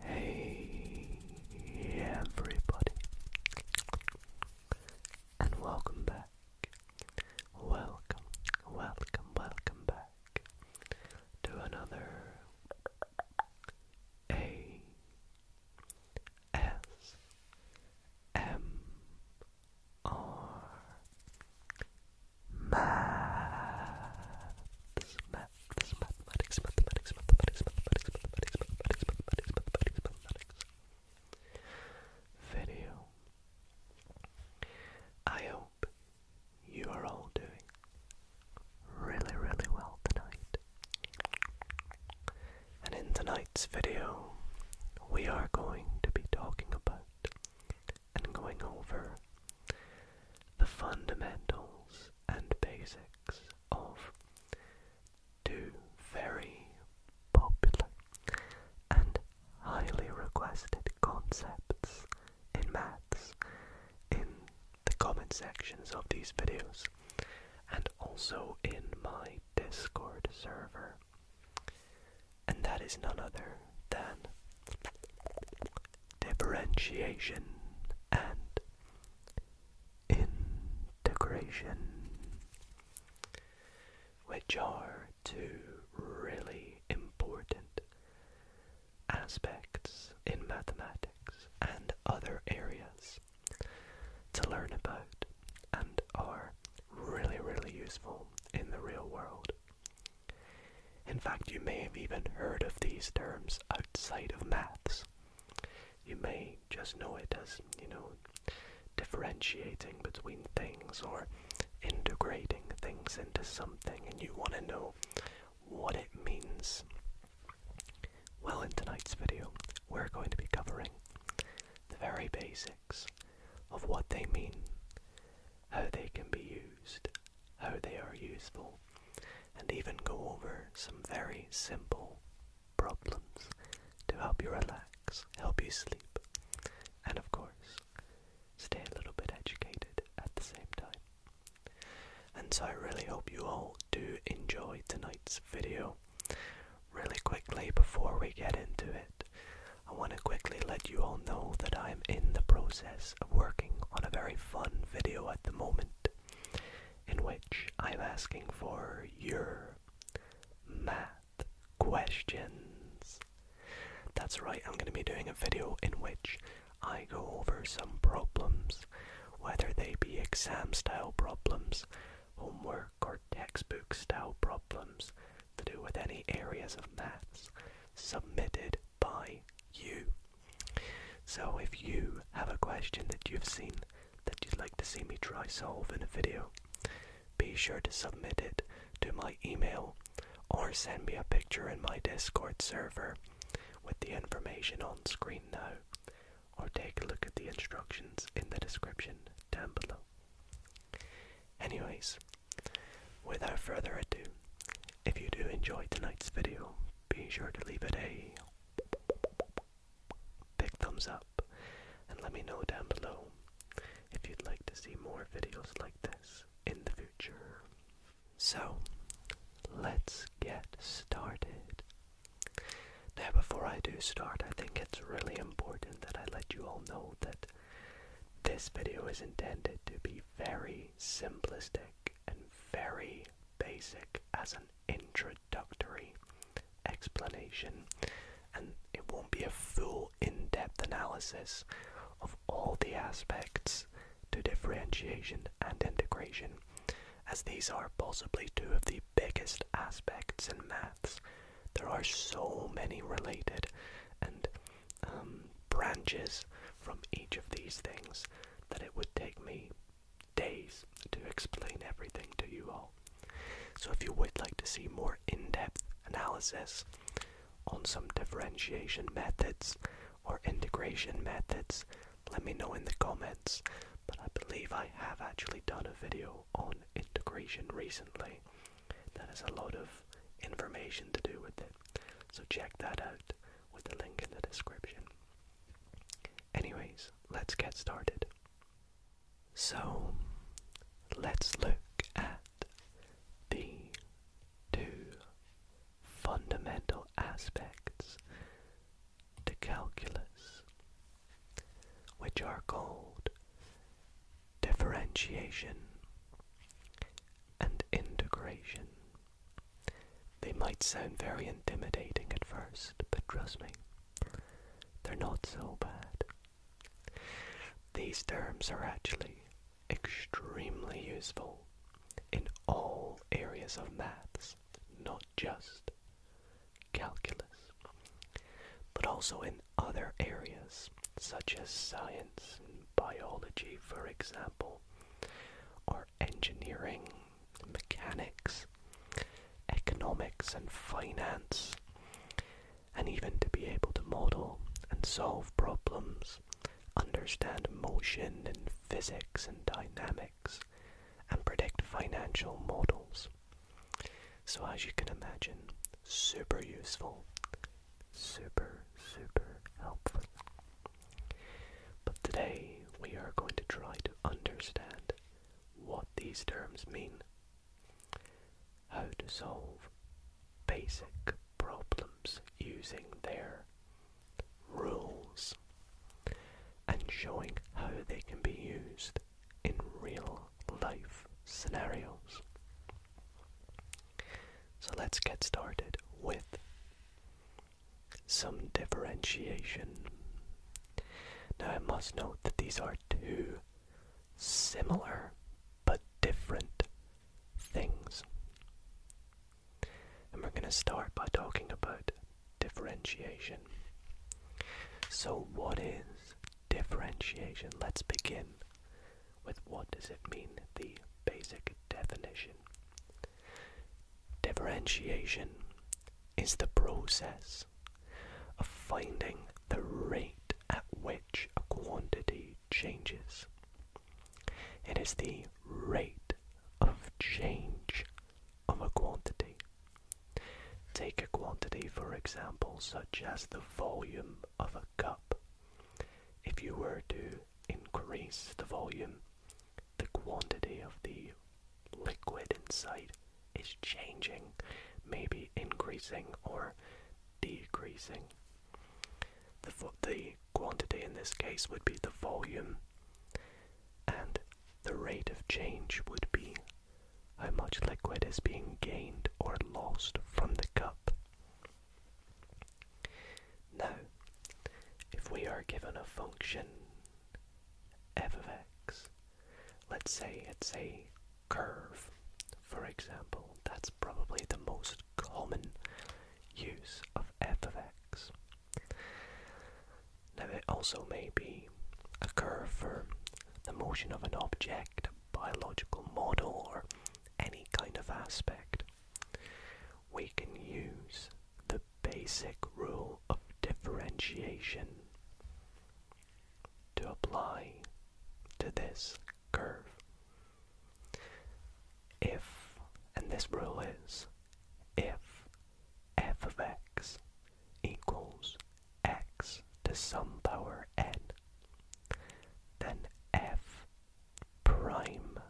Hey everybody, and welcome back. Welcome, welcome, welcome back to another A S M R Maths Video. I hope you are all doing really, really well tonight. And in tonight's video, we are going to be talking about and going over the fundamentals and basics of two very popular and highly requested concepts in maths in the comment sections of these videos and also in my Discord server. And that is none other than differentiation and integration, which are two really important aspects in mathematics and other areas to learn about and are really, really useful in the real world. In fact, you may have even heard of these terms outside of maths. You may just know it as, you know, differentiating between things or integrating things into something, and you want to know what it means. Well, in tonight's video, we're going to be covering the very basics of what they mean, how they can be used, how they are useful, and even go over some very simple problems to help you relax, help you sleep, and of course, stay a little bit educated at the same time. And so I really hope you all do enjoy tonight's video. Really quickly, before we get into it, I want to quickly let you all know that I am in the process of working on a very fun video at the moment in which I'm asking for your math questions. That's right, I'm going to be doing a video in which I go over some problems, whether they be exam style problems, homework, or textbook style problems to do with any areas of maths submitted by you. So if you have a question that you've seen that you'd like to see me try solve in a video, be sure to submit it to my email or send me a picture in my Discord server with the information on screen now, or take a look at the instructions in the description down below. Anyways, without further ado, if you do enjoy tonight's video, be sure to leave it a Big thumbs up and let me know down below if you'd like to see more videos like this in the future. So, let's get started. Now, before I do start, I think it's really important that I let you all know that this video is intended to be very simplistic and very basic as an introductory explanation, and it won't be a full in depth analysis of all the aspects to differentiation and integration, as these are possibly two of the biggest aspects in maths. There are so many related and um, branches from each of these things that it would take me days to explain everything to you all. So if you would like to see more in-depth analysis on some differentiation methods or integration methods, let me know in the comments. But I believe I have actually done a video on integration recently. That has a lot of information to do with it. So check that out with the link in the description. Anyways, let's get started. So, let's look at the two fundamental aspects of calculus, which are called differentiation and integration. They might sound very intimidating at first, but trust me, they're not so bad. These terms are actually extremely useful in all areas of maths, not just calculus, but also in other areas such as science and biology, for example, or engineering mechanics, economics, and finance, and even to be able to model and solve problems, understand motion in physics and dynamics, and predict financial models. So, as you can imagine, super useful, super, super helpful. But today we are going to try to understand what these terms mean, how to solve basic problems using their rules, and showing how they can be used in real life scenarios. So let's get started with some differentiation. Now I must note that these are two similar but different things. And we're going to start by talking about differentiation. So, what is differentiation? Let's begin with what does it mean, the basic definition. Differentiation is the process of finding the rate at which a quantity changes. It is the rate of change of a quantity. Take a quantity, for example, such as the volume of a cup. If you were to increase the volume the quantity of the liquid inside is changing, maybe increasing or decreasing. The, the quantity in this case would be the volume, and the rate of change would be how much liquid is being gained or lost from the cup. Now, if we are given a function f of x. Let's say it's a curve, for example. That's probably the most common use of f of x. Now, it also may be a curve for the motion of an object, a biological model, or any kind of aspect. We can use the basic rule of differentiation. To apply to this curve, if, and this rule is, if f of x equals x to some power n, then f prime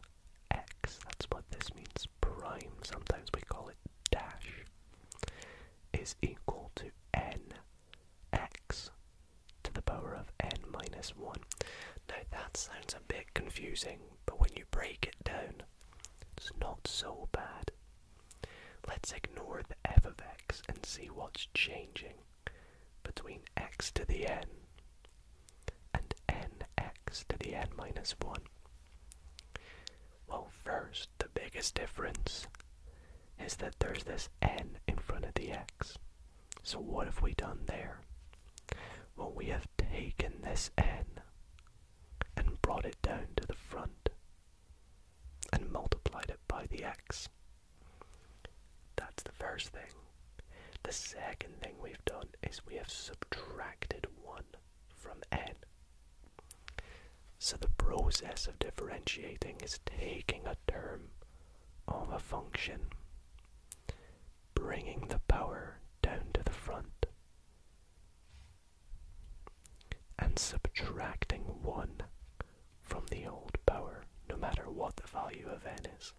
x, that's what this means, prime, sometimes we call it dash is equal to n x to the power of n minus 1. Now that sounds a bit confusing, but when you break it down, it's not so bad. Let's ignore the f of x and see what's changing between x to the n and nx to the n minus 1. Well, first, the biggest difference is that there's this n in front of the x. So, what have we done there? Well, we have taken this n and brought it down to the front and multiplied it by the x. That's the first thing. The second thing we've done is we have subtracted 1 from n. So the process of differentiating is taking a term of a function, bringing the power down to the front, and subtracting 1 from the old power, no matter what the value of n is.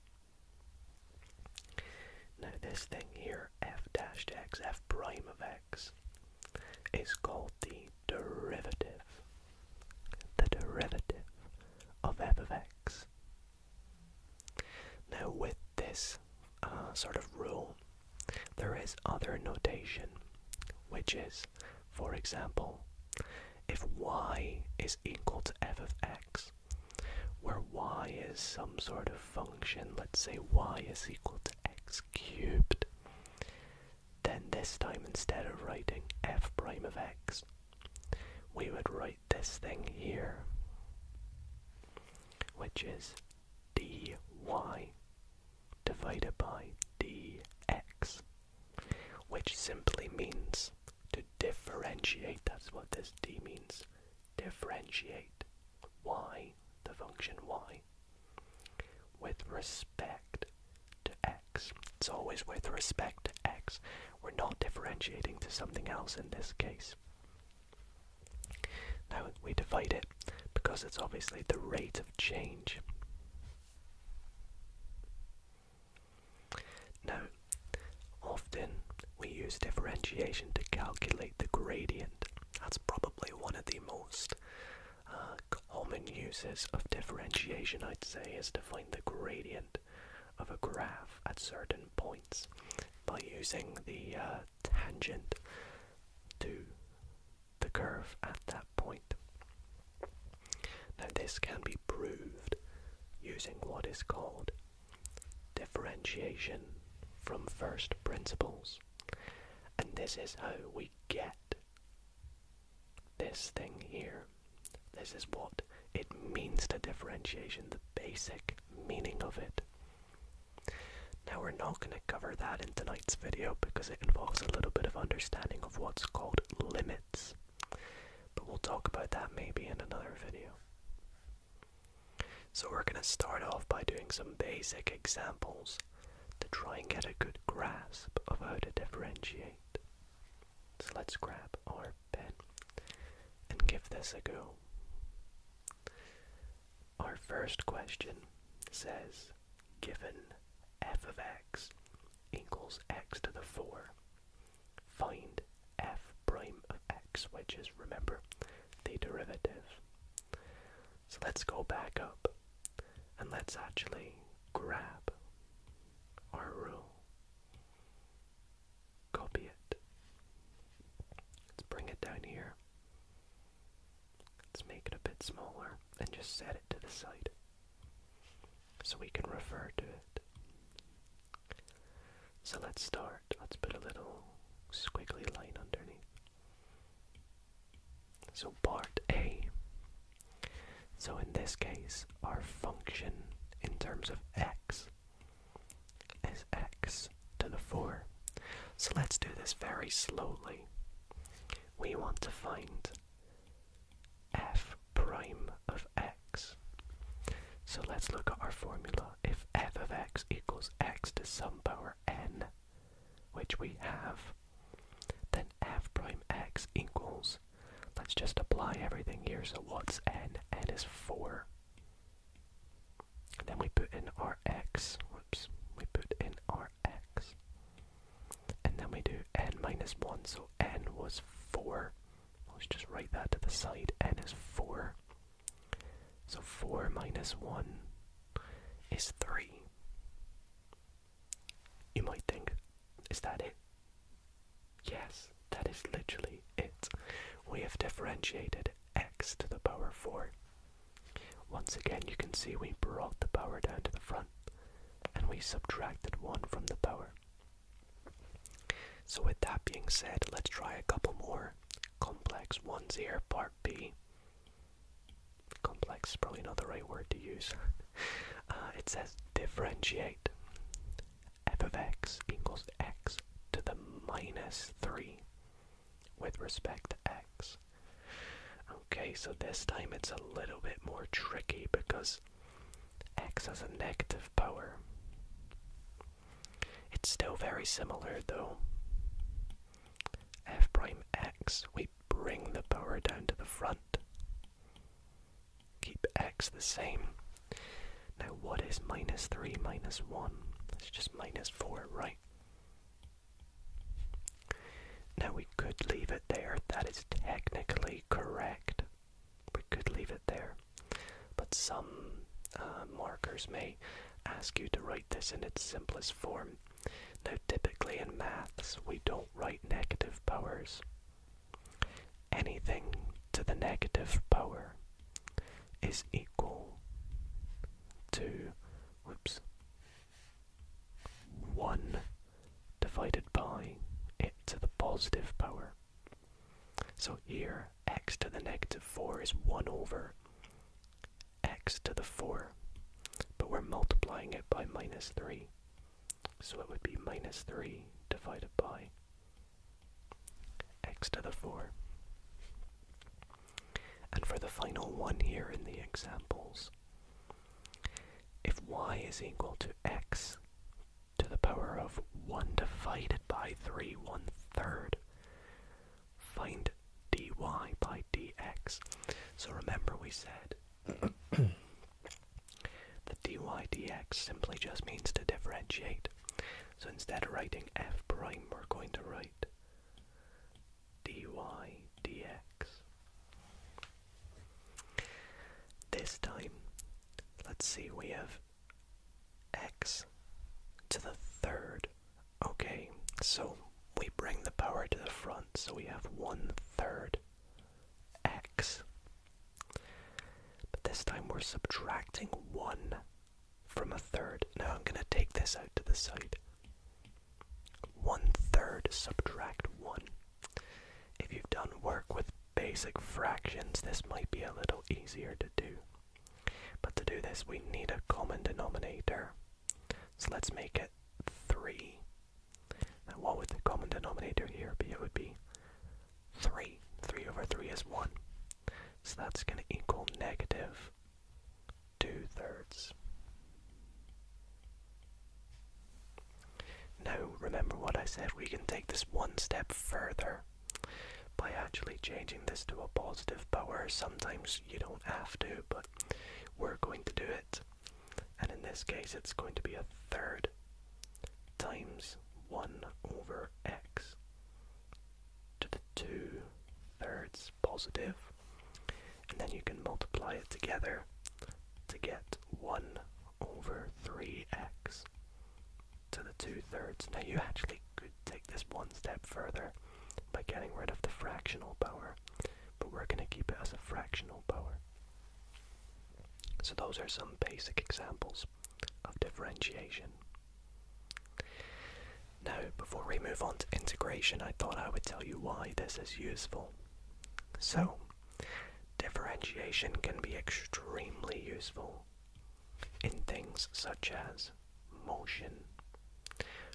Now this thing here, f dash x, f prime of x, is called the derivative. The derivative of f of x. Now with this uh, sort of rule, there is other notation, which is, for example, if y is equal to f of x, where y is some sort of function, let's say y is equal to x x cubed. Then this time instead of writing f prime of x, we would write this thing here, which is dy divided by dx, which simply means to differentiate, that's what this d means, differentiate y, the function y, with respect to x. It's always with respect to x. We're not differentiating to something else in this case. Now we divide it because it's obviously the rate of change. Now, often we use differentiation to calculate the gradient. That's probably one of the most uh, common uses of differentiation, I'd say, is to find the gradient of a graph at certain points by using the uh, tangent to the curve at that point. Now, this can be proved using what is called differentiation from first principles. And this is how we get this thing here. This is what it means to differentiation, the basic meaning of it. Now, we're not going to cover that in tonight's video because it involves a little bit of understanding of what's called limits. But we'll talk about that maybe in another video. So, we're going to start off by doing some basic examples to try and get a good grasp of how to differentiate. So let's grab our pen and give this a go. Our first question says, given f of x equals x to the 4, find f prime of x, which is, remember, the derivative. So let's go back up and let's actually grab our rule. Copy it. Let's bring it down here. Let's make it a bit smaller and just set it to the side so we can refer to it. So let's start. Let's put a little squiggly line underneath. So part A. So in this case, our function in terms of x is x to the 4. So let's do this very slowly. We want to find f prime of x. So let's look at our formula. If f of x equals x to some power n, which we have, then f prime x equals, let's just apply everything here, so what's n? n is 4. then we put in our x, whoops, we put in our x. And then we do n minus 1, so n was 4. Let's just write that to the side, n is 4. So 4 minus 1 is 3. You might think, is that it? Yes, that is literally it. We have differentiated x to the power 4. Once again, you can see we brought the power down to the front and we subtracted 1 from the power. So with that being said, let's try a couple more. Complex ones here, part B complex probably not the right word to use. Uh, it says differentiate f of x equals x to the minus 3 with respect to x. Okay, so this time it's a little bit more tricky because x has a negative power. It's still very similar though. f prime x, we bring the power down to the front. Keep x the same. Now what is minus 3 minus 1? It's just minus 4, right? Now we could leave it there. That is technically correct. We could leave it there. But some uh, markers may ask you to write this in its simplest form. Now, typically in maths, we don't write negative powers. Anything to the negative power is equal to, whoops, 1 divided by it to the positive power. So here, x to the negative 4 is 1 over x to the 4, but we're multiplying it by minus 3. So it would be minus 3 divided by x to the 4. And for the final one here in the examples, if y is equal to x to the power of 1 divided by 3 one third, find dy by dx. So remember we said the dy dx simply just means to differentiate. So instead of writing f prime, we're going to write dy dx. This time, let's see, we have x to the third Okay, so we bring the power to the front, so we have one third x. But this time we're subtracting one from a third. Now I'm going to take this out to the side. One third subtract one. If you've done work with basic fractions, this might be a little easier to do. But to do this, we need a common denominator. So let's make it 3. Now what would the common denominator here be? It would be 3. 3 over 3 is 1. So that's going to equal negative 2 thirds. Now remember what I said, we can take this one step further by actually changing this to a positive power. Sometimes you don't have to, but we're going to do it. And in this case, it's going to be a third times 1 over x to the 2 thirds And then you can multiply it together to get 1 over 3x to the 2 thirds. Now you actually could take this one step further by getting rid of the fractional power but we're going to keep it as a fractional power. So those are some basic examples of differentiation. Now, before we move on to integration, I thought I would tell you why this is useful. So, differentiation can be extremely useful in things such as motion,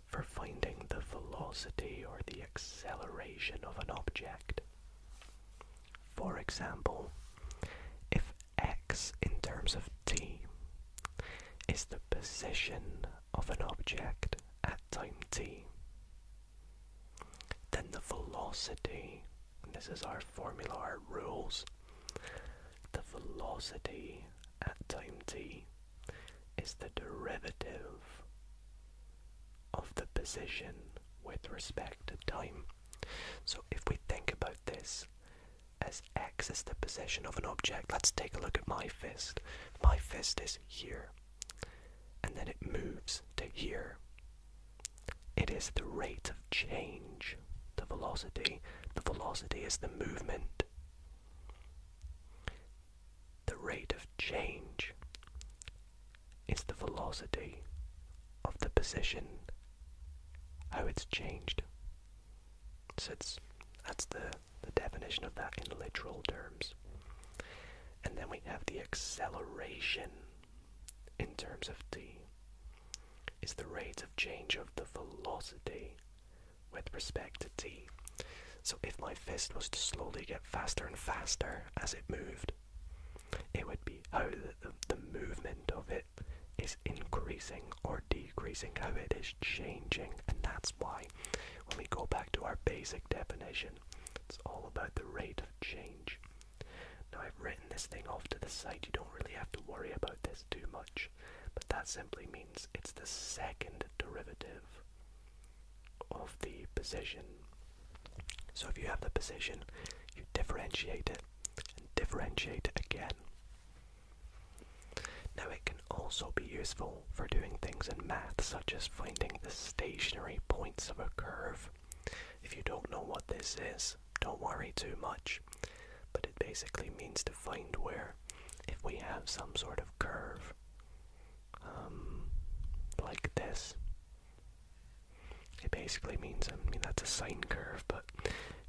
for finding the velocity or the acceleration of an object. For example, if x in terms of t is the position of an object at time t, then the velocity, this is our formula, our rules, the velocity at time t is the derivative of the position with respect to time. So if we think about this as x is the position of an object, let's take a look at my fist. My fist is here, and then it moves to here. It is the rate of change, the velocity. The velocity is the movement. The rate of change is the velocity of the position, how it's changed. So that's the definition of that in literal terms. And then we have the acceleration in terms of t is the rate of change of the velocity with respect to t. So if my fist was to slowly get faster and faster as it moved, it would be how the, movement of it is increasing or decreasing, how it is changing, and that's why when we go back to our basic definition, it's all about the rate of change. Now I've written this thing off to the side, you don't really have to worry about this too much, but that simply means it's the second derivative of the position. So if you have the position, you differentiate it and differentiate it again. Now it can also be useful for doing things in math such as finding the stationary points of a curve. If you don't know what this is, don't worry too much, but it basically means to find where if we have some sort of curve um, like this. It basically means, I mean, that's a sine curve, but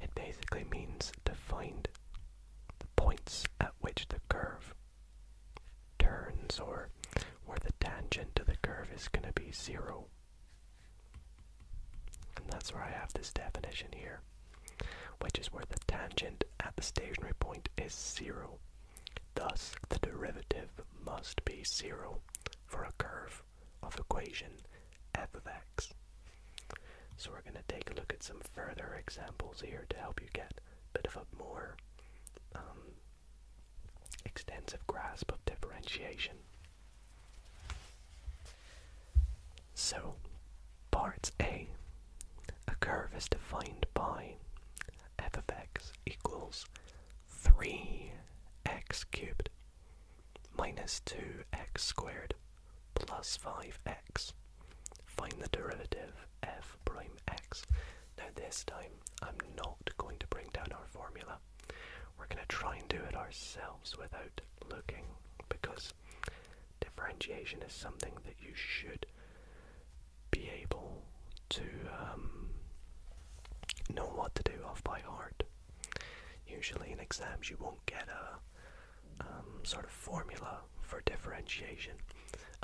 it basically means to find the points at which the curve turns or where the tangent to the curve is going to be zero. And that's where I have this definition here, which is where the tangent at the stationary point is zero. Thus, the derivative must be zero for a curve of equation f of x. So we're going to take a look at some further examples here to help you get a bit of a more um, extensive grasp of differentiation. So, part A. A curve is defined by f of x equals 3x cubed minus 2x squared plus 5x. Find the derivative f prime x. Now this time I'm not going to bring down our formula. We're going to try and do it ourselves without looking because differentiation is something that you should be able to um, know what to do off by heart. Usually in exams, you won't get a um, sort of formula for differentiation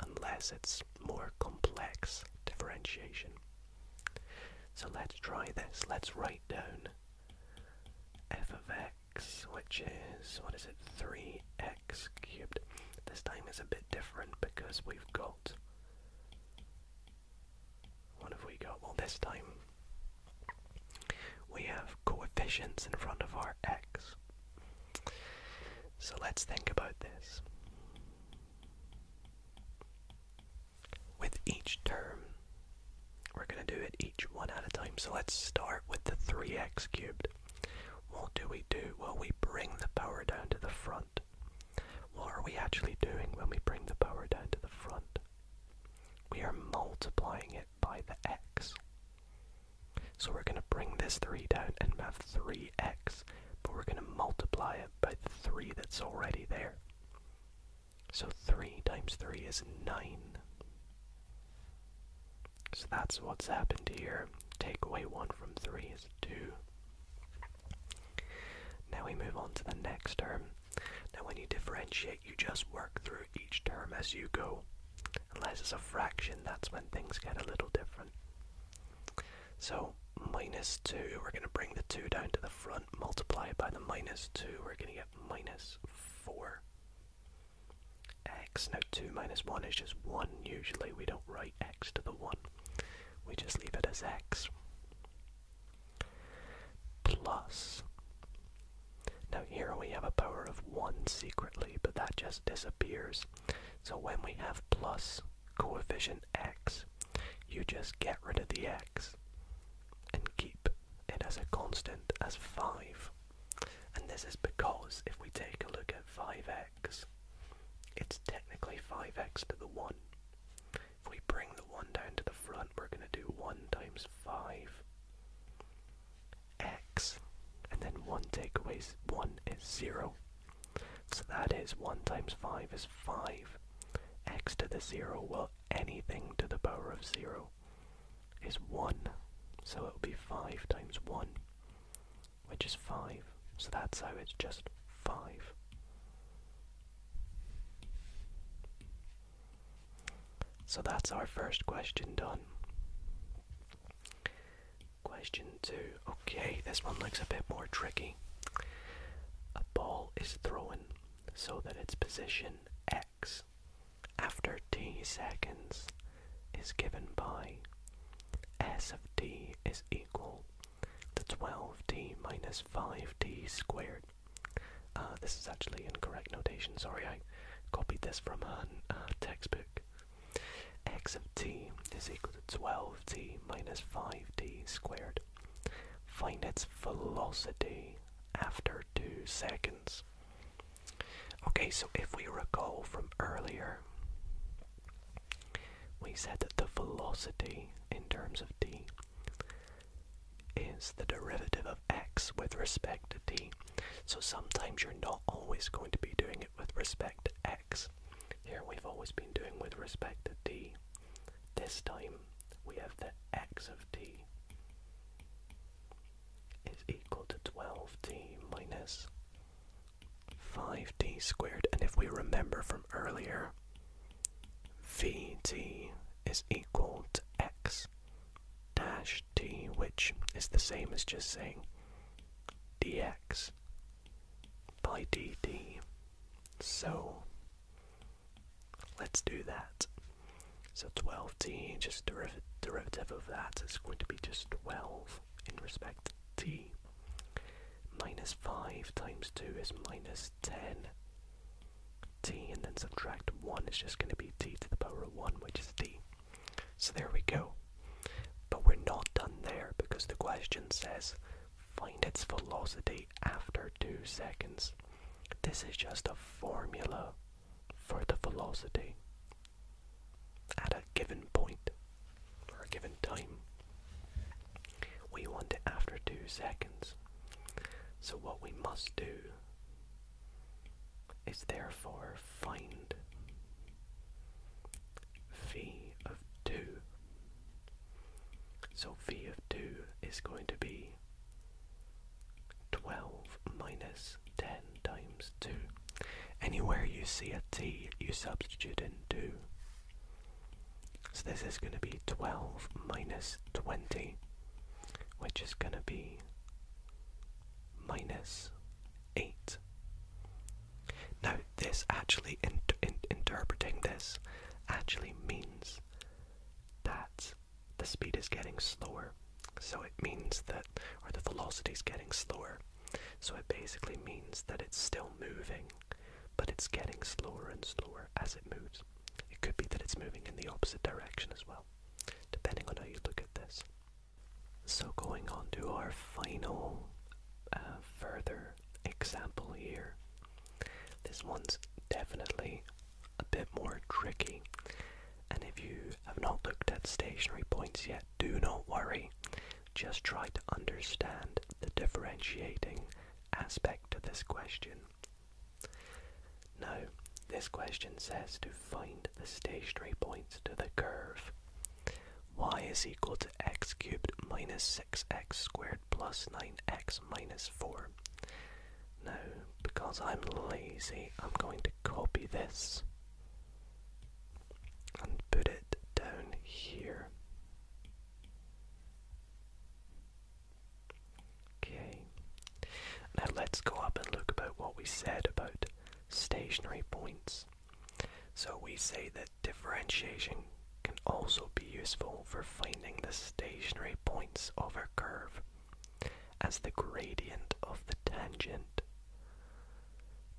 unless it's more complex differentiation. So let's try this. Let's write down f of x, which is, what is it, 3x x cubed. This time is a bit different because we've got. What have we got? Well, this time we have coefficients in front of our x. So let's think about this. With each term, we're going to do it each one at a time. So let's start with the 3x cubed. What do we do? Well, we bring the power down to the front. What are we actually doing when we bring the power down to the front? We are multiplying it by the x. So we're going to bring this 3 down and have 3x, but we're going to multiply it by the 3 that's already there. So 3 times 3 is 9. So that's what's happened here. Take away 1 from 3 is 2. Now we move on to the next term. Now when you differentiate, you just work through each term as you go. Unless it's a fraction, that's when things get a little different. So minus 2, we're going to bring the 2 down to the front, multiply it by the minus 2, we're going to get minus 4x. Now 2 minus 1 is just 1, usually we don't write x to the 1. We just leave it as x. Plus, now here we have a power of 1 secretly, but that just disappears. So when we have plus coefficient x, you just get rid of the x and keep it as a constant as 5. And this is because if we take a look at 5 x it's technically 5x to the 1. If we bring the 1 down to the front, we're going to do 1 times 5 x, and then 1 take away 1 is 0. So that is 1 times 5 is 5. x to the 0, well, anything to the power of 0 is 1. So it will be 5 times 1 which is 5. So that's how it's just 5. So that's our first question done. Question 2. Okay, this one looks a bit more tricky. A ball is thrown so that its position x after t seconds is given by s of t is equal the 12t minus 5t squared. Uh, this is actually incorrect notation, sorry, I copied this from a textbook. x of t is equal to 12t minus 5t squared. Find its velocity after 2 seconds. Okay, so if we recall from earlier, we said that the velocity in terms of t is the derivative of x with respect to t. So sometimes you're not always going to be doing it with respect to x. Here we've always been doing with respect to t. This time we have the x of t is equal to 12t minus 5 d squared. And if we remember from earlier, vt is equal to x dash t, which is the same as just saying dx by dt. So let's do that. So 12t, just deriv derivative of that is going to be just 12 in respect to t. Minus 5 times 2 is minus 10 t, and then subtract 1 is just going to be t to the power of 1, which is t. So there we go. But we're not done there because the question says find its velocity after 2 seconds. This is just a formula for the velocity at a given point. For a given time. We want it after two seconds. So what we must do is therefore find v of 2. So v of 2 is going to be 12 minus 10 times 2. Anywhere you see a t, you substitute in 2. So this is going to be 12 minus 20, which is going to be minus 8. Now, this actually, interpreting this, actually means that the speed is getting slower. So it means that, or the velocity is getting slower. So it basically means that it's still moving, but it's getting slower and slower as it moves. It could be that it's moving in the opposite direction as well, depending on how you look at this. So, going on to our final uh, further example here. This one's definitely a bit more tricky, and if you have not looked at stationary points yet, do not worry. Just try to understand the differentiating aspect of this question. Now, this question says to find the stationary points to the curve. y is equal to x cubed minus 6x squared plus 9x minus 4. Now, because I'm lazy, I'm going to copy this and put it down here. Okay. Now let's go up and look about what we said about stationary points. So we say that differentiation can also be useful for finding the stationary points of a curve as the gradient of the tangent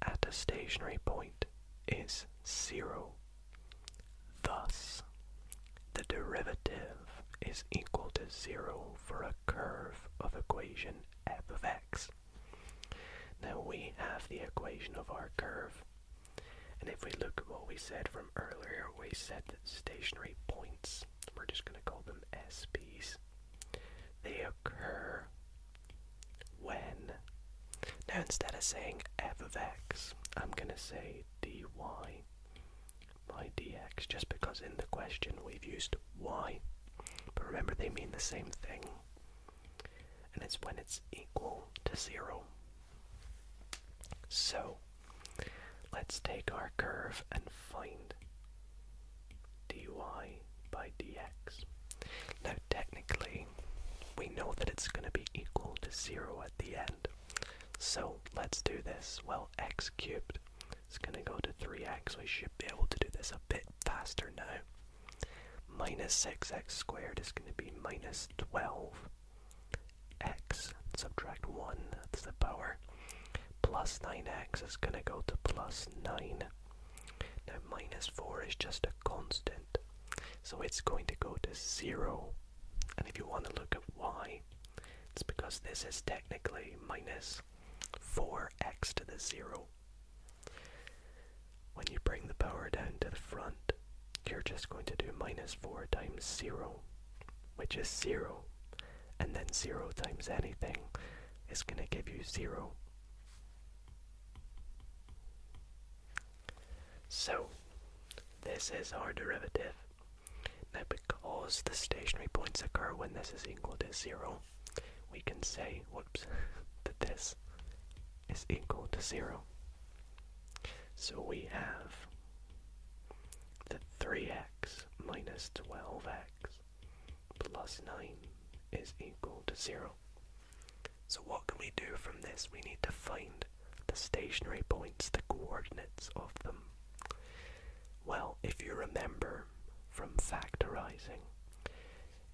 at a stationary point is zero. Thus, the derivative is equal to zero for a curve of equation f of x. Now we have the equation of our curve, and if we look at what we said from earlier, we said that stationary points, we're just going to call them SPs, they occur when. Now instead of saying f of x, I'm going to say dy by dx, just because in the question we've used y. But remember, they mean the same thing. And it's when it's equal to zero. So, let's take our curve and find dy by dx. Now, technically, we know that it's going to be equal to 0 at the end. So let's do this. Well, x cubed is going to go to 3x. We should be able to do this a bit faster now. Minus 6x squared is going to be minus 12x. Subtract 1, that's the power. Plus 9x is going to go to plus 9. Now minus 4 is just a constant. So it's going to go to zero. And if you want to look at y, it's because this is technically minus 4x to the zero. When you bring the power down to the front, you're just going to do minus 4 times 0, which is 0. And then 0 times anything is going to give you 0. So, this is our derivative. Now because the stationary points occur when this is equal to zero, we can say, whoops, that this is equal to zero. So we have the 3x minus 12x plus 9 is equal to zero. So what can we do from this? We need to find the stationary points, the coordinates of them. Well, if you remember from factorizing,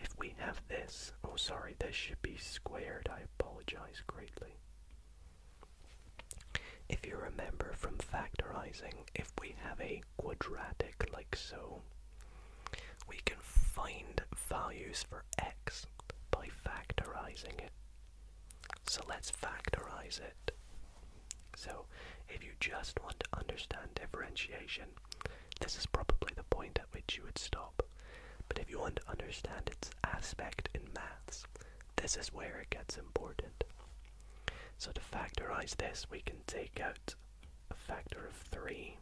if we have this, oh sorry, this should be squared, I apologize greatly. If you remember from factorizing, if we have a quadratic like so, we can find values for x by factorizing it. So let's factorize it. So if you just want to understand differentiation, this is probably the point at which you would stop. But if you want to understand its aspect in maths, this is where it gets important. So to factorize this, we can take out a factor of 3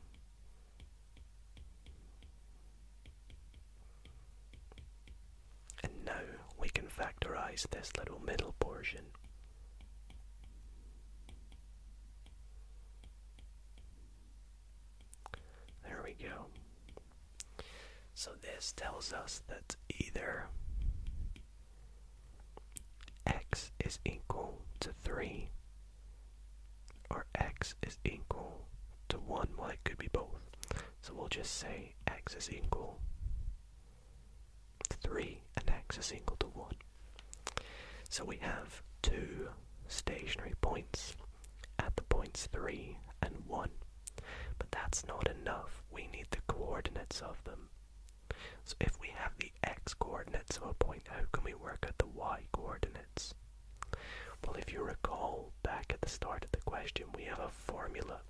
and now we can factorize this little middle portion. There we go. So this tells us that either x is equal to 3 or x is equal to 1. Well, it could be both. So we'll just say x is equal to 3 and x is equal to 1. So we have two stationary points at the points 3 and 1. But that's not enough. We need the coordinates of them. So if we have the x coordinates of a point, how can we work out the y coordinates? Well, if you recall back at the start of the question, we have a formula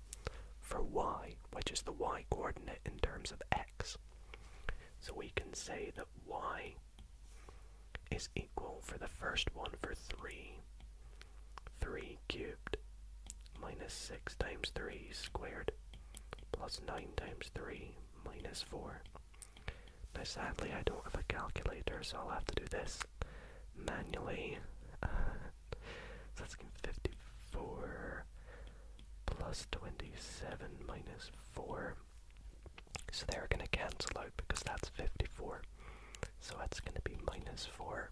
for y, which is the y coordinate in terms of x. So we can say that y is equal for the first one for 3, 3 cubed minus 6 times 3 squared plus 9 times 3 minus 4. Now sadly I don't have a calculator so I'll have to do this manually. Uh, so that's 54 plus 27 minus 4. So they're going to cancel out because that's 54. So that's going to be minus 4.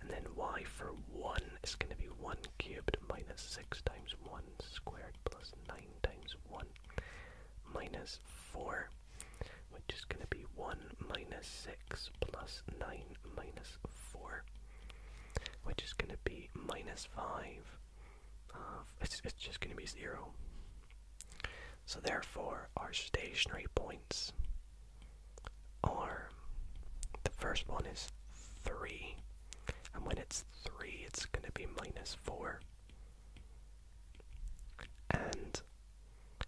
And then y for 1 is going to be 1 cubed minus 6 times 1 squared plus 9 times 1 minus 4 which is going to be 1 minus 6 plus 9 minus 4, which is going to be minus 5 it's, it's just going to be 0. So therefore, our stationary points are, the first one is 3, and when it's 3, it's going to be minus 4. And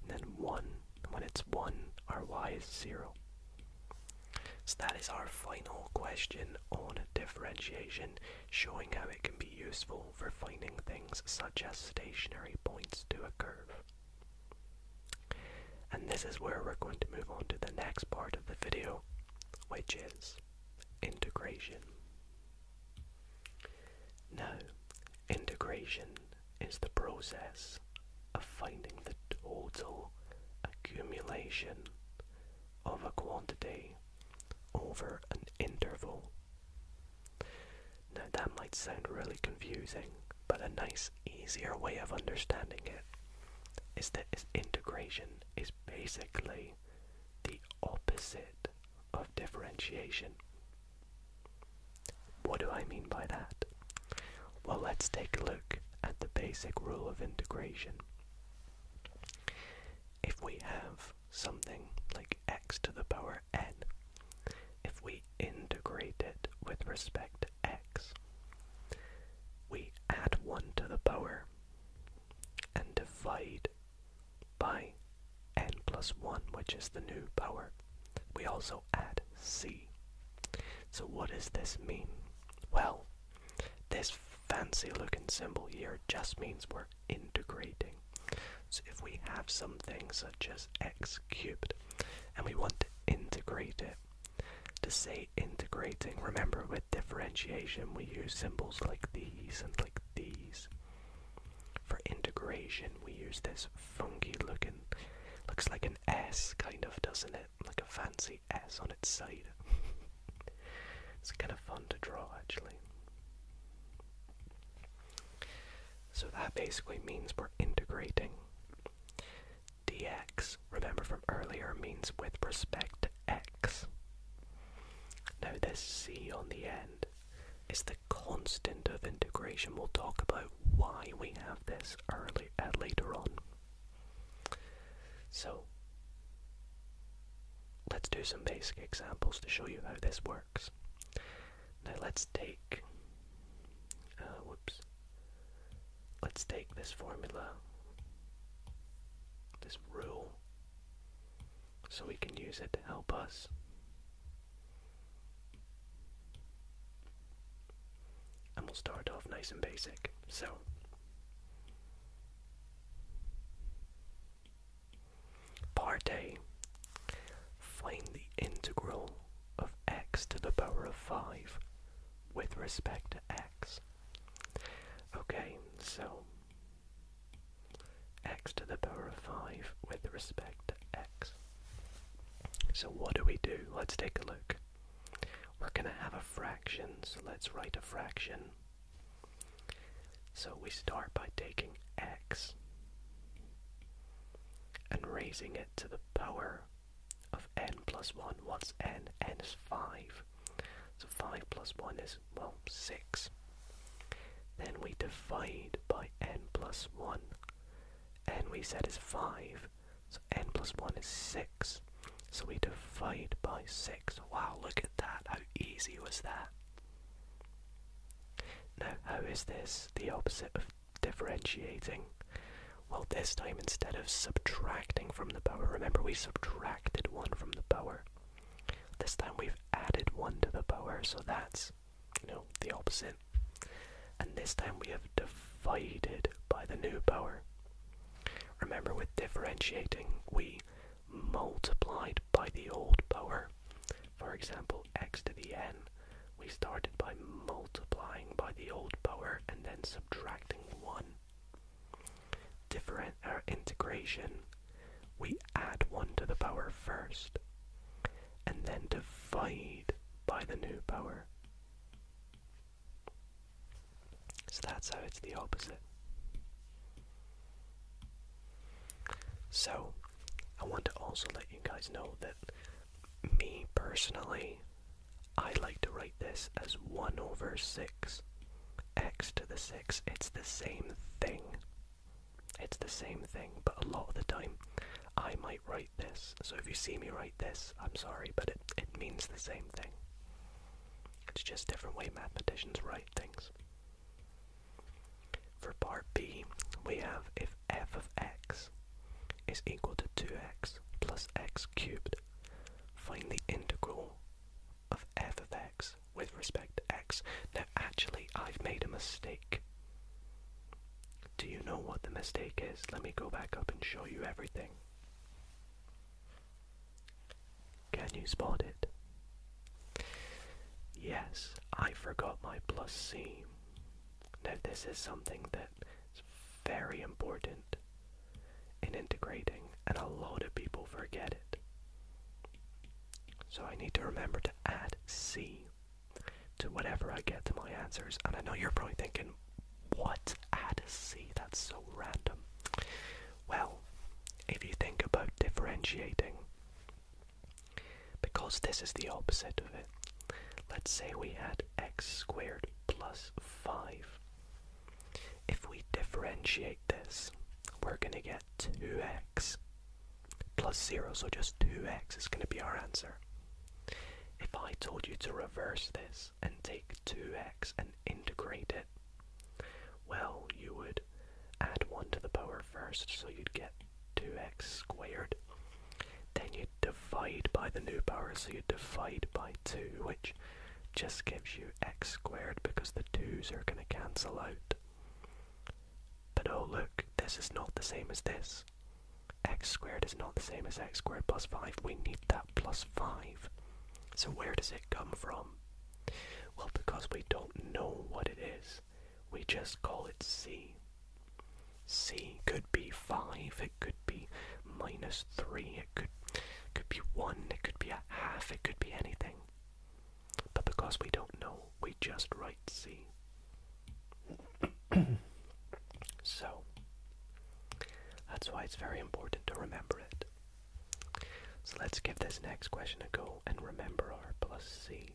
and then 1. When it's 1, our y is 0. So that is our final question on differentiation, showing how it can be useful for finding things such as stationary points to a curve. And this is where we're going to move on to the next part of the video, which is integration. Now, integration is the process of finding the total accumulation of a quantity over an interval. Now, that might sound really confusing, but a nice, easier way of understanding it is that integration is basically the opposite of differentiation. What do I mean by that? Well, let's take a look at the basic rule of integration. If we have something like x to the power n, if we integrate it with respect to x, we add 1 to the power and divide by n plus 1, which is the new power. We also add c. So what does this mean? Well, this fancy looking symbol here just means we're integrating. So if we have something such as x cubed and we want to integrate it, to say integrating, remember with differentiation we use symbols like these and like these. For integration, we use this funky looking, looks like an S kind of, doesn't it? Like a fancy S on its side. it's kind of fun to draw actually. So that basically means we're integrating. dx, remember from earlier, means with respect to x. Now this c on the end is the constant of integration. We'll talk about why we have this early, uh, later on. So, let's do some basic examples to show you how this works. Now let's take, uh, whoops, let's take this formula, this rule, so we can use it to help us and we'll start off nice and basic. So, part A find the integral of x to the power of 5 with respect to x. Okay, so x to the power of 5 with respect to x. So what do we do? Let's take a look. We're going to have a fraction, so let's write a fraction. So we start by taking x and raising it to the power of n plus 1. What's n? n is 5. So 5 plus 1 is, well, 6. Then we divide by n plus 1 n we said is 5, so n plus 1 is 6. So we divide by 6. Wow, look at that, how easy was that? Now, how is this the opposite of differentiating? Well, this time instead of subtracting from the power, remember we subtracted 1 from the power. This time we've added 1 to the power, so that's you know, the opposite. And this time we have divided by the new power. Remember, with differentiating, we multiplied by the old power. For example, x to the n, we started by multiplying by the old power and then subtracting 1. Different our uh, integration, we add 1 to the power first and then divide by the new power. So that's how it's the opposite. So, I want to also let you guys know that me personally, I like to write this as 1 over 6 x to the 6. It's the same thing. It's the same thing, but a lot of the time I might write this. So if you see me write this, I'm sorry, but it, it means the same thing. It's just different way mathematicians write things. For part B, we have if f of x is equal to 2x plus x cubed, find the integral of f of x with respect to x. Now actually I've made a mistake. Do you know what the mistake is? Let me go back up and show you everything. Can you spot it? Yes, I forgot my plus C. Now, this is something that's very important in integrating, and a lot of people forget it. So, I need to remember to add C to whatever I get to my answers. And I know you're probably thinking, what add a C? That's so random. Well, if you think about differentiating, because this is the opposite of it, let's say we had x squared plus 5. If we differentiate this, we're going to get 2x plus 0, so just 2x is going to be our answer. If I told you to reverse this and take 2x and integrate it, well, you would add 1 to the power first, so you'd get 2x squared. Then you divide by the new power, so you divide by 2, which just gives you x squared because the 2's are going to cancel out. But oh look, this is not the same as this x squared is not the same as x squared plus 5. We need that plus 5. So where does it come from? Well, because we don't know what it is, we just call it c. c could be 5, it could be minus 3, it could, could be 1, it could be a half, it could be anything. But because we don't know, we just write c. so that's why it's very important to remember it. So let's give this next question a go and remember our plus c.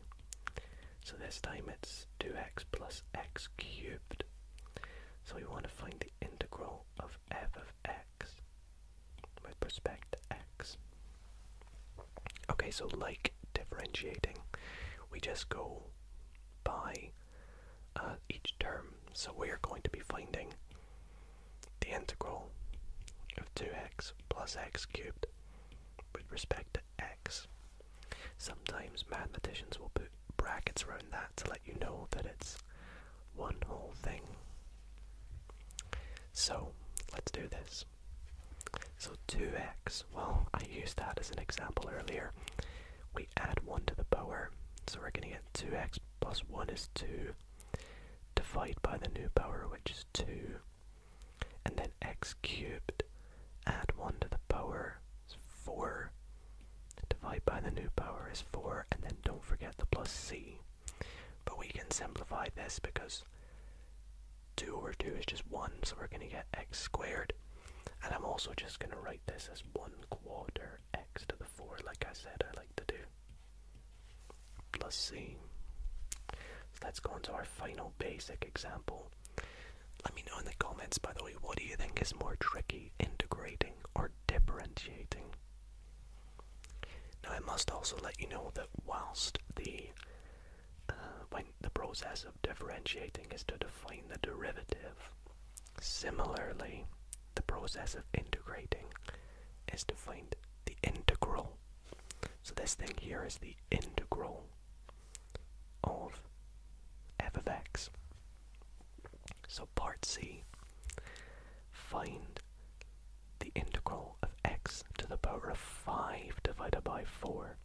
So this time it's 2x plus x cubed. So we want to find the integral of f of x with respect to x. Okay, so like differentiating, we just go by uh, each term. So we are going to be finding the integral of 2x plus x cubed with respect to x. Sometimes mathematicians will put brackets around that to let you know that it's one whole thing. So let's do this. So 2x well, I used that as an example earlier. We add 1 to the power, so we're going to get 2x plus 1 is 2, divide by the new power, which is 2, and then x cubed, add 1 to the power is 4, divide by the new power is 4, and then don't forget the plus c. But we can simplify this because 2 over 2 is just 1, so we're going to get x squared. And I'm also just going to write this as 1 quarter x to the 4, like I said I like to do. Plus c. So let's go on to our final basic example. Let me know in the comments, by the way, what do you think is more tricky, integrating or differentiating? Now I must also let you know that whilst the uh, when the process of differentiating is to define the derivative. Similarly, the process of integrating is to find the integral. So this thing here is the integral of f of x. So part C, find the integral of x to the power of 5 divided by 4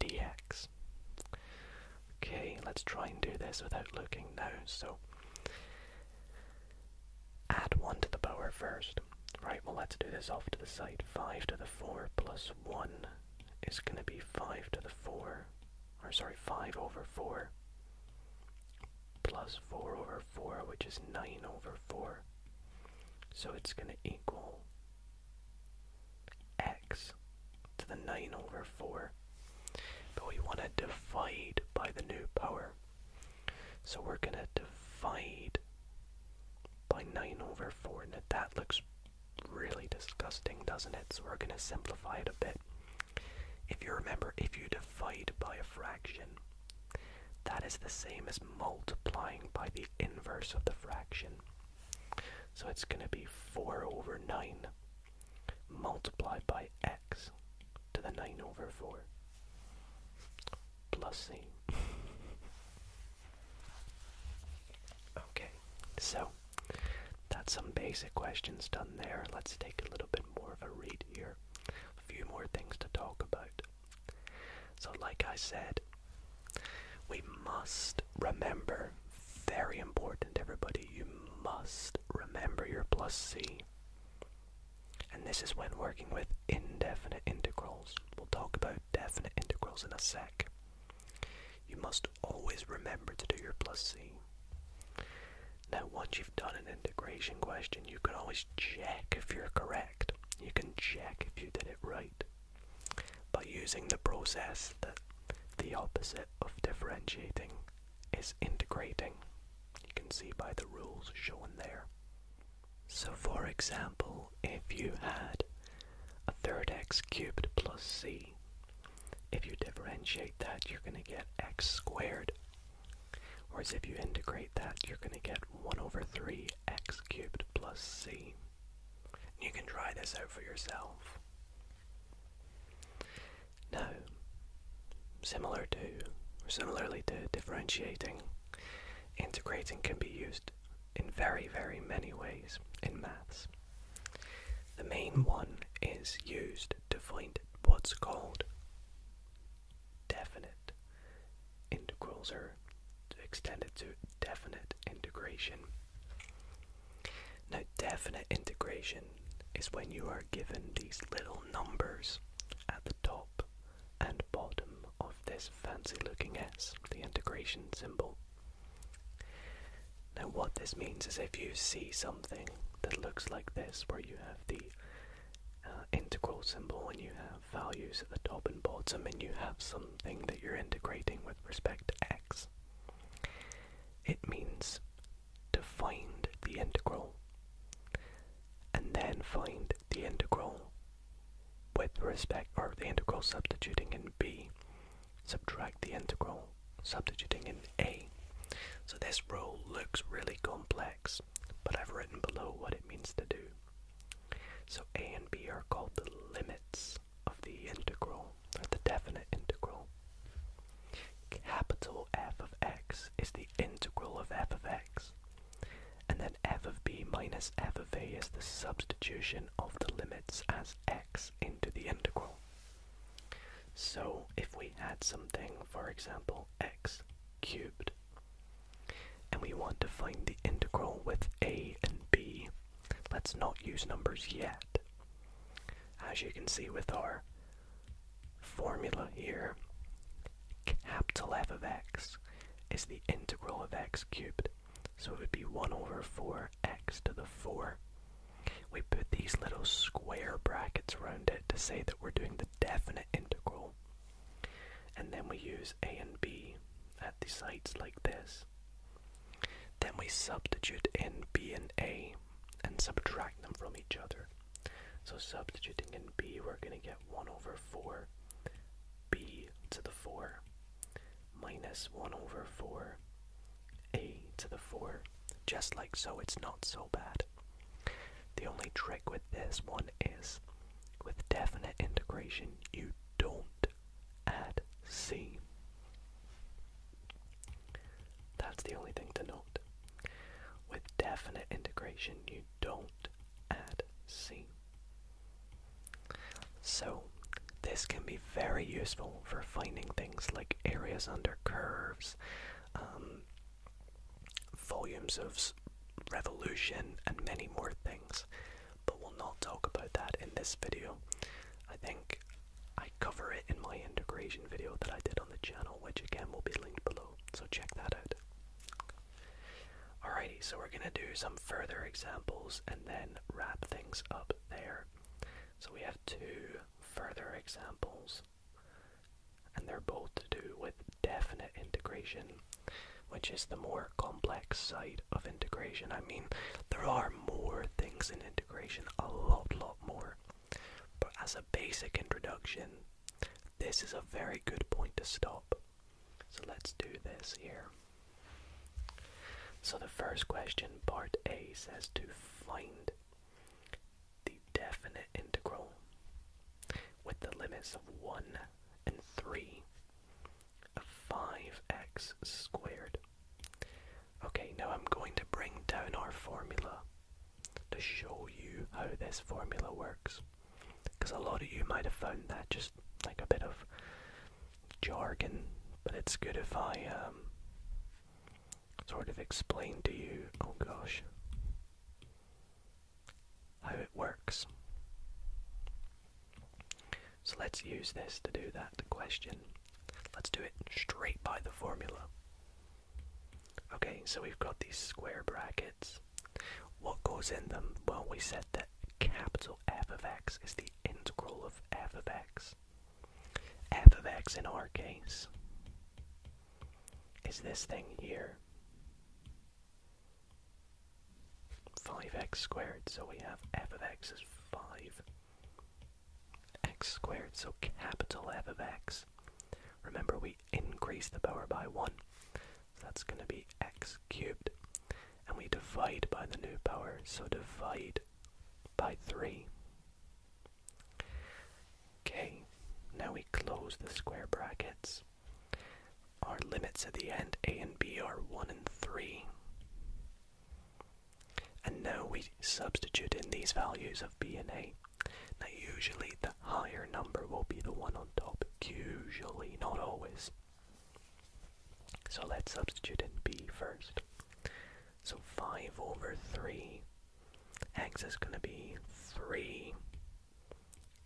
dx. Okay, let's try and do this without looking now. So, add 1 to the power first. Right, well, let's do this off to the side. 5 to the 4 plus 1 is going to be 5 to the 4, or sorry, 5 over 4 plus 4 over 4, which is 9 over 4. So it's going to equal x to the 9 over 4. But we want to divide by the new power. So we're going to divide by 9 over 4. Now that looks really disgusting, doesn't it? So we're going to simplify it a bit. If you remember, if you divide by a fraction, that is the same as multiplying by the inverse of the fraction. So it's going to be 4 over 9 multiplied by x to the 9 over 4 plus c. okay, so that's some basic questions done there. Let's take a little bit more of a read here. A few more things to talk about. So, like I said, we must remember, very important, everybody, you must remember your plus c. And this is when working with indefinite integrals. We'll talk about definite integrals in a sec. You must always remember to do your plus c. Now, once you've done an integration question, you can always check if you're correct. You can check if you did it right. By using the process that the opposite of differentiating is integrating, you can see by the rules shown there. So, for example, if you had a third x cubed plus c, if you differentiate that, you're going to get x squared. Whereas if you integrate that, you're going to get 1 over 3 x cubed plus c. You can try this out for yourself. Now, similar to, or similarly to differentiating, integrating can be used in very, very many ways in maths. The main one is used to find what's called definite integrals or extended to definite integration. Now, definite integration is when you are given these little numbers at the top and bottom of this fancy looking S, the integration symbol. Now, what this means is if you see something that looks like this, where you have the uh, integral symbol and you have values at the top and bottom, and you have something that you're integrating with respect to x, it means to find the integral and then find the integral with respect or the integral substituting in b, subtract the integral substituting in a. So this rule looks really complex, but I've written below what it means to do. So a and b are called the limits of the integral, or the definite integral. Capital f of x is the integral of f of x. And then f of b minus f of a is the substitution of the limits as x into the integral. So if we add something, for example, x cubed, and we want to find the integral with a and b Let's not use numbers yet. As you can see with our formula here, capital F of x is the integral of x cubed. So it would be 1 over 4x to the 4. We put these little square brackets around it to say that we're doing the definite integral. And then we use a and b at the sides like this. Then we substitute in B and A and subtract them from each other. So substituting in B, we're going to get 1 over 4 B to the 4 minus 1 over 4 A to the 4. Just like so, it's not so bad. The only trick with this one is with definite integration, you don't Add C. That's the only thing to note. With definite integration, you don't add C. So, this can be very useful for finding things like areas under curves, um, volumes of revolution, and many more things. But we'll not talk about that in this video. I think I cover it in my integration video that I did on the channel, which again will be linked below, so check that out. Alrighty, so we're gonna do some further examples and then wrap things up there. So we have two further examples, and they're both to do with definite integration, which is the more complex side of integration. I mean, there are more things in integration a lot, lot more. But as a basic introduction, this is a very good point to stop. So let's do this here. So the first question, part A, says to find the definite integral with the limits of 1 and 3 of 5x squared Okay, now I'm going to bring down our formula to show you how this formula works. Because a lot of you might have found that just like a bit of jargon, but it's good if I um, sort of explain to you, oh gosh, how it works. So let's use this to do that question. Let's do it straight by the formula. Okay, so we've got these square brackets. What goes in them? Well, we said that capital F of x is the integral of f of x. f of x in our case is this thing here. 5x squared, so we have f of x is 5 x squared, so capital f of x. Remember, we increase the power by 1, so that's going to be x cubed. And we divide by the new power, so divide by 3. Okay, now we close the square brackets. Our limits at the end, a and b, are 1 and 3. And now we substitute in these values of b and a. Now usually the higher number will be the one on top, usually, not always. So let's substitute in b first. So 5 over 3, x is going to be 3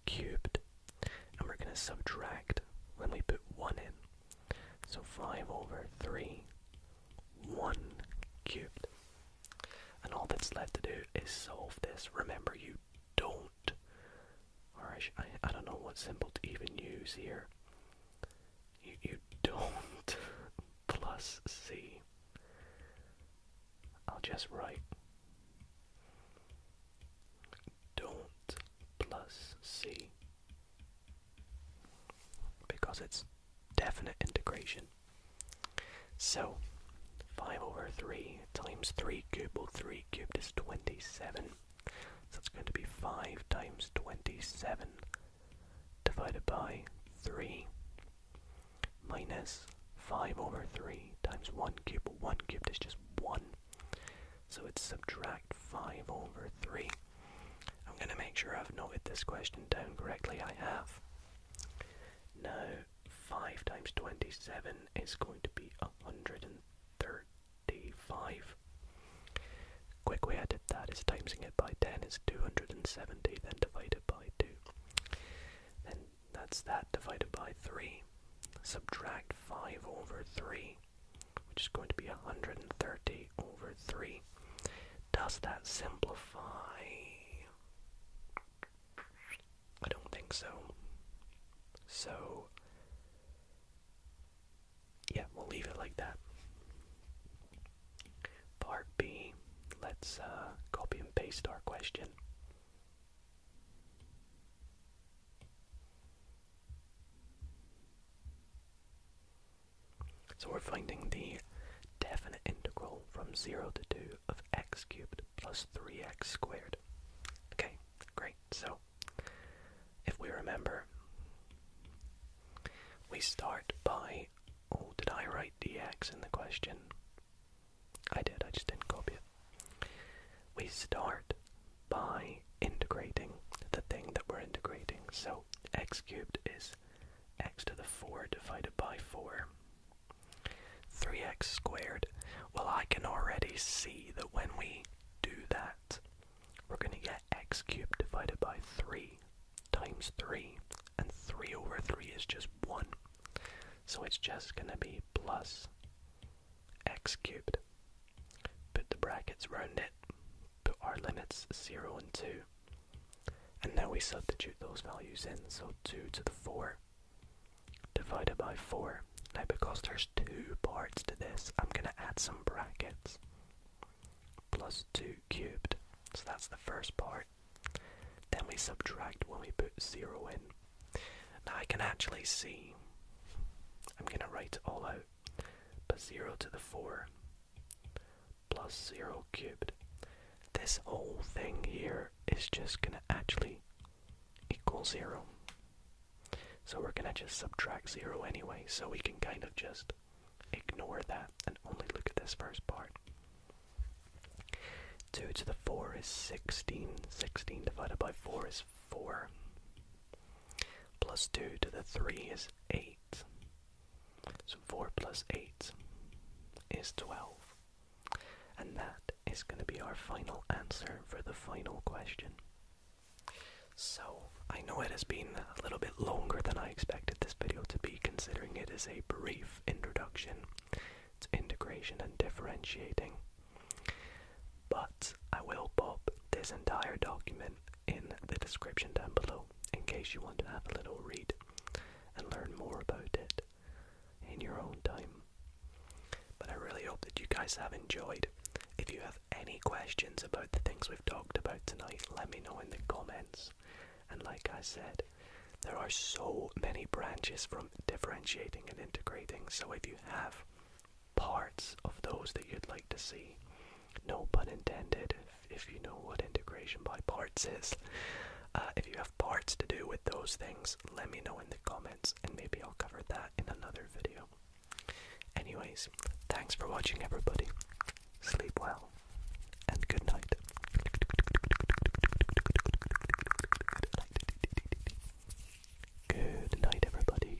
cubed, and we're going to subtract when we put 1 in. So 5 over 3 one cubed. And all that's left to do is solve this. Remember, you don't, or I, I, I don't know what symbol to even use here. You, you don't plus c. I'll just write don't plus c because it's definite integration. So, 5 over 3 times 3 cubed, well 3 cubed is 27, so it's going to be 5 times 27 divided by 3 minus 5 over 3 times 1 cubed, well 1 cubed is just 1, so it's subtract 5 over 3 I'm going to make sure I've noted this question down correctly. I have. Now, 5 times 27 is going to be 135. Quick way I did that is timesing it by 10 is 270, then divided by 2. Then that's that divided by 3. Subtract 5 over 3, which is going to be 130 over 3. Does that simplify? I don't think so. So, yeah, we'll leave it like that. Part B, let's uh, copy and paste our question. So we're finding the definite integral from 0 to 2 of x cubed plus 3x squared. Okay, great. So if we remember, we start by, oh, did I write dx in the question? I did, I just didn't copy it. We start by integrating the thing that we're integrating. So x cubed is x to the 4 divided by 4. 3x squared. Well, I can already see that when we do that, we're going to get x cubed divided by 3 times 3. And 3 over 3 is just 1. So it's just going to be plus x cubed. Put the brackets round it. Put our limits 0 and 2. And now we substitute those values in, so 2 to the 4 divided by 4. Now because there's two parts to this, I'm going to add some brackets. Plus 2 cubed, so that's the first part. Then we subtract when we put 0 in. Now I can actually see, I'm going to write it all out, but 0 to the 4 plus 0 cubed. This whole thing here is just going to actually equal 0. So we're going to just subtract 0 anyway, so we can kind of just ignore that and only look at this first part. 2 to the 4 is 16. 16 divided by 4 is 4. Plus 2 to the 3 is 8. So 4 plus 8 is 12. And that is going to be our final answer for the final question. So, I know it has been a little bit longer than I expected this video to be, considering it is a brief introduction to integration and differentiating. But I will pop this entire document in the description down below in case you want to have a little read and learn more about it in your own time. But I really hope that you guys have enjoyed. If you have any questions about the things we've talked about tonight, let me know in the comments. And like I said, there are so many branches from differentiating and integrating, so if you have parts of those that you'd like to see, no pun intended, if, you know what integration by parts is. Uh, if you have parts to do with those things, let me know in the comments and maybe I'll cover that in another video. Anyways, thanks for watching everybody. Sleep well and good night. Good night everybody.